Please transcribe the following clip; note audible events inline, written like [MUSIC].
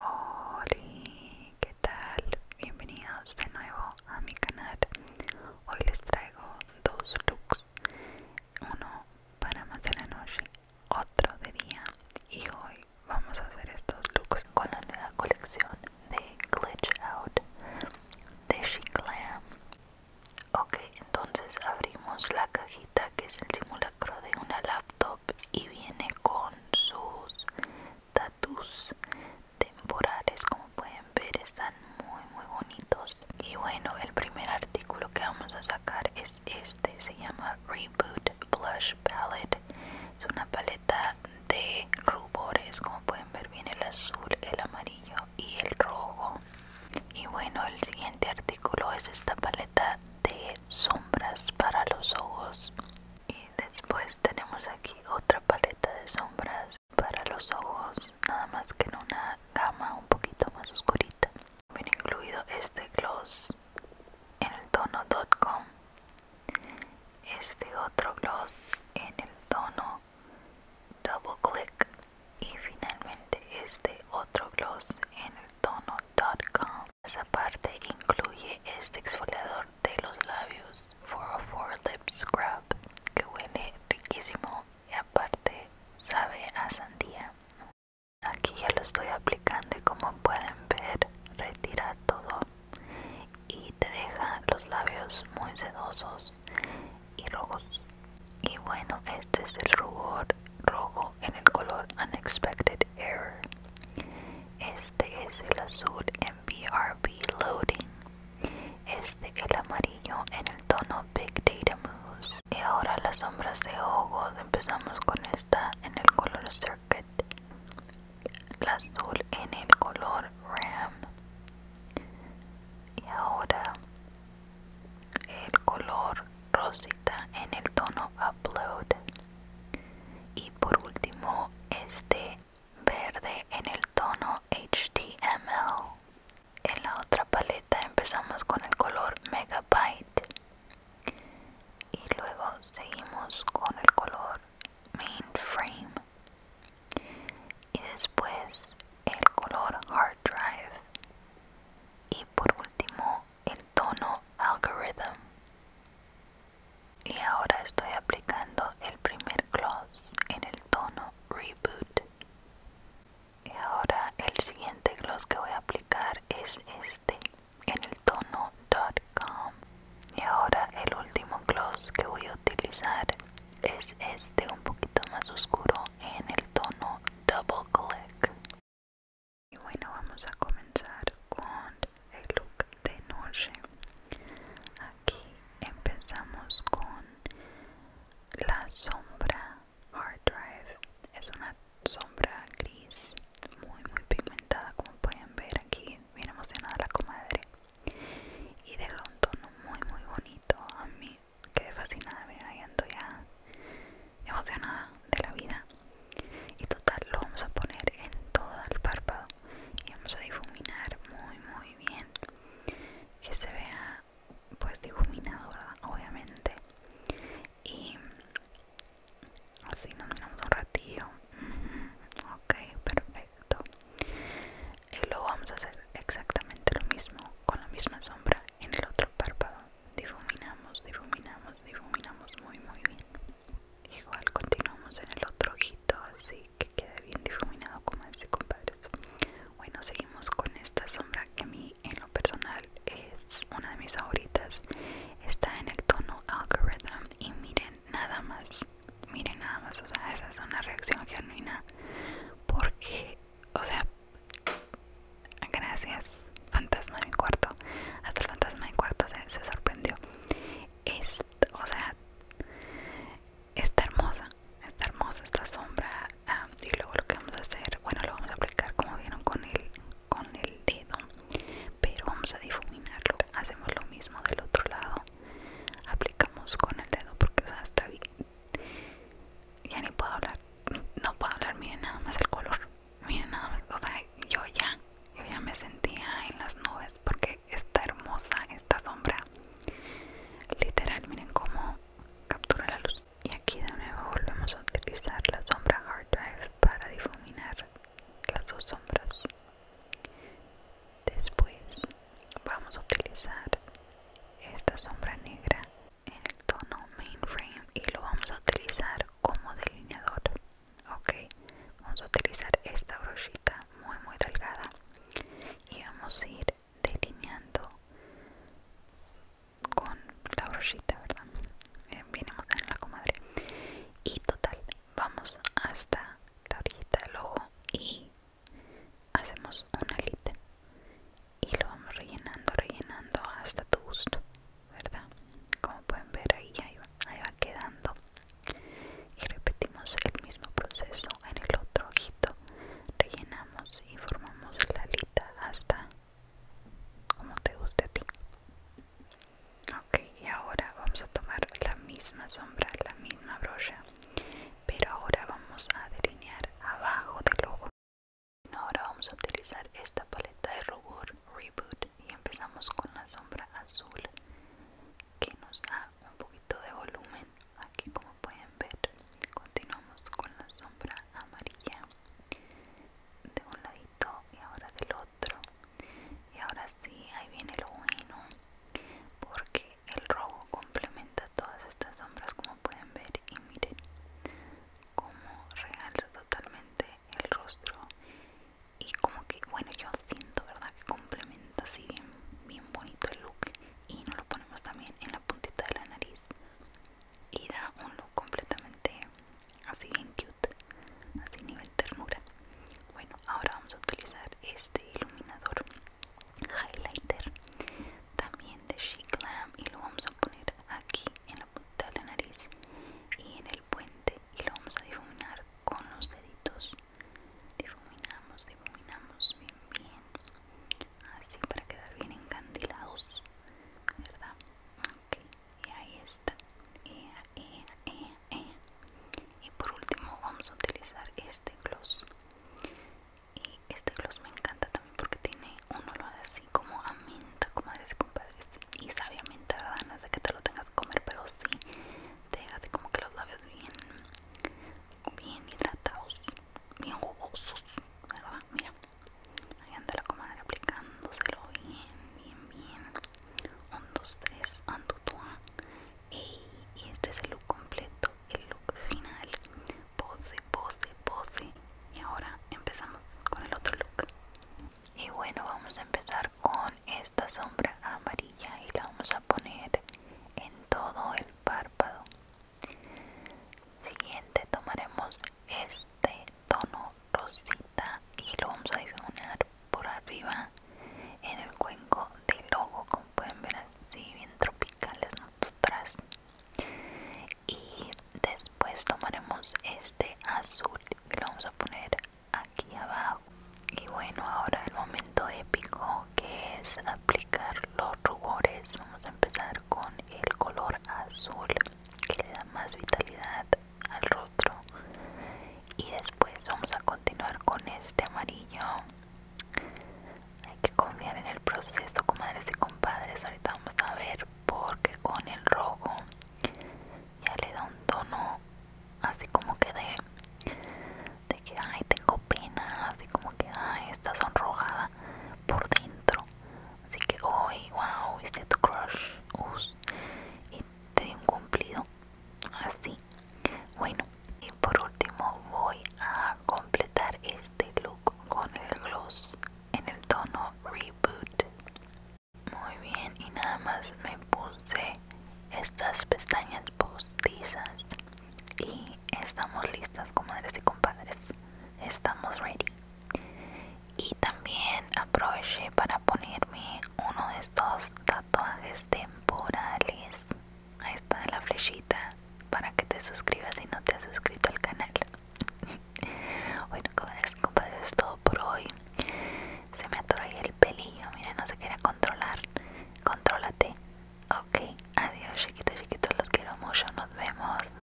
Hola, ¿qué tal? Bienvenidos de nuevo a mi canal. Hoy les traigo dos looks, uno para más de la noche, otro de día y hoy vamos a hacer estos looks con la nueva colección de Glitch Out de She Glam. Ok, entonces abrimos la cajita que es el simulador de una laptop y viene con sus tatus temporales como pueden ver están muy muy bonitos y bueno el primer artículo que vamos a sacar es este se llama reboot blush palette es una paleta de rubores como pueden ver viene el azul el amarillo y el rojo y bueno el siguiente artículo es esta paleta de sombras para los ojos y después tenemos aquí otra paleta de sombras para los ojos nada más que en una gama un poquito más oscurita También incluido este gloss en el tono este otro gloss en el tono double click y finalmente este otro gloss en el tono esa parte incluye este exfoliador de los labios 404 Lip Scrub que huele riquísimo y aparte sabe a sandía. Aquí ya lo estoy aplicando y como pueden ver retira todo y te deja los labios muy sedosos y rojos. Y bueno, este es el rubor rojo en el color Unexpected Error. Este es el azul en BRB Loading. Este el amarillo en el tono Big Data Mousse. Y ahora las sombras de ojos. Empezamos con esta en el color Circuit. el azul en el color RAM. Y ahora el color rosita en el tono upload y por último este verde en el tono html en la otra paleta empezamos con el color megabyte y luego seguimos con el color mainframe y después el color Hard Drive y por último el tono Algorithm. Y ahora estoy aplicando el primer gloss en el tono Reboot. Y ahora el siguiente gloss que voy a aplicar es este en el tono .com. Y ahora el último gloss que voy a utilizar es este un poquito más oscuro en el tono double click. Y bueno, vamos a comenzar con el look de noche. Aquí empezamos con la sombra Hard Drive. Es una sombra gris muy muy pigmentada como pueden ver aquí. Bien emocionada la comadre. Y deja un tono muy muy bonito a mí quedé fascinada, me ahí ando ya emocionada de la vida. Y total, lo vamos a poner en todo el párpado y vamos a difuminar muy, muy bien. Que se vea pues difuminado, ¿verdad? Obviamente. Y así nos miramos un ratillo. Ok, perfecto y luego vamos a hacer exactamente lo mismo con la misma sombra en el otro párpado difuminamos difuminamos difuminamos muy muy bien igual continuamos en el otro ojito así que quede bien difuminado como ese compadre bueno seguimos con esta sombra que a mí en lo personal es una de mis favoritas está en el tono algorithm y miren nada más miren nada más o sea esa es una reacción genuina porque, o sea, gracias, fantasma de mi cuarto. Hasta el fantasma de mi cuarto se, sorprendió. Es, o sea, está hermosa, está hermosa esta sombra. y luego lo que vamos a hacer, bueno, lo vamos a aplicar como vieron con el, con el dedo, pero vamos a difuminarlo. Hacemos lo mismo del otro lado, aplicamos con el dedo porque, o sea, está bien ya ni puedo hablar, no puedo hablar, miren nada más el color, miren nada más, o sea, yo ya, yo ya me sentía en las nubes porque está hermosa esta sombra, literal, miren cómo captura la luz. Y aquí de nuevo volvemos a utilizar la sombra Hard Drive para difuminar las dos sombras. Después vamos a utilizar esta sombra negra en el tono mainframe y lo vamos a utilizar como delineador. Ok, vamos a utilizar esta brochita muy muy delgada y vamos a ir delineando con la brochita, ¿verdad? vinimos en la comadre. Y total, vamos hasta la orillita del ojo y hacemos una alita y lo vamos rellenando, rellenando hasta tu gusto, ¿verdad? Como pueden ver ahí ya va quedando y repetimos el mismo proceso en el otro ojito, rellenamos y formamos la alita hasta como te guste a ti. Ok, y ahora vamos a tomar la misma sombra, la misma brocha, pero ahora vamos a delinear abajo del ojo. Ahora vamos a utilizar esta paleta de rubor Reboot y empezamos con la sombra azul que nos da un poquito de volumen. Aquí como pueden ver, continuamos con la sombra amarilla de un ladito y ahora del otro y ahora sí ahí viene lo bueno porque el rojo complementa todas estas sombras como pueden ver y miren como realza totalmente el rostro y como que bueno yo siento verdad que complementa así bien bien bonito el look y nos lo ponemos también en la puntita de la nariz y da un look completamente así bien cute así nivel ternura bueno ahora vamos a utilizar este iluminador highlighter también de Chic Glam y lo vamos a poner aquí en la punta de la nariz y en el puente y lo vamos a difuminar con los deditos difuminamos difuminamos bien bien así para quedar bien encandilados verdad ok y ahí está y por último vamos a utilizar este gloss y este gloss me encanta también porque tiene un olor así como a menta como y compadres y sabe a menta verdad de que te lo tengas que comer pero sí te hace como que los labios bien bien hidratados bien jugosos verdad mira ahí anda la comadre aplicándoselo bien bien bien 1, 2, 3, 2, y este es el look completo, el look final. Pose, pose, pose. Y ahora empezamos con el otro look. Y bueno, vamos a empezar con esta sombra amarilla y la vamos a poner en todo el párpado. Siguiente tomaremos este tono rosita y lo vamos a difuminar por arriba en el cuenco del logo como pueden ver así bien tropicales nosotras y después tomaremos este azul que lo vamos a poner aquí abajo y bueno ahora el momento épico que es aplicar los rubores vamos a empezar con el color azul que le da más vitalidad al rostro y después vamos a continuar con este amarillo hay que confiar en el proceso comadres y compadres ahorita vamos a ver porque con el rojo ya le da un tono así como que de, de que ay tengo pena así como que ay está sonrojada por dentro Así que hoy, wow, hice tu crush y te di un cumplido así. Bueno, y por último voy a completar este look con el gloss en el tono Reboot. Muy bien, y nada más me puse estas pestañas postizas y estamos listas, comadres y compadres. Estamos ready y también aproveché para ponerme uno de estos tatuajes temporales ahí está la flechita para que te suscribas si no te has suscrito al canal [LAUGHS] bueno compadre es todo por hoy se me atoró el pelillo mira no se quiere controlar contrólate ok adiós chiquitos chiquitos los quiero mucho nos vemos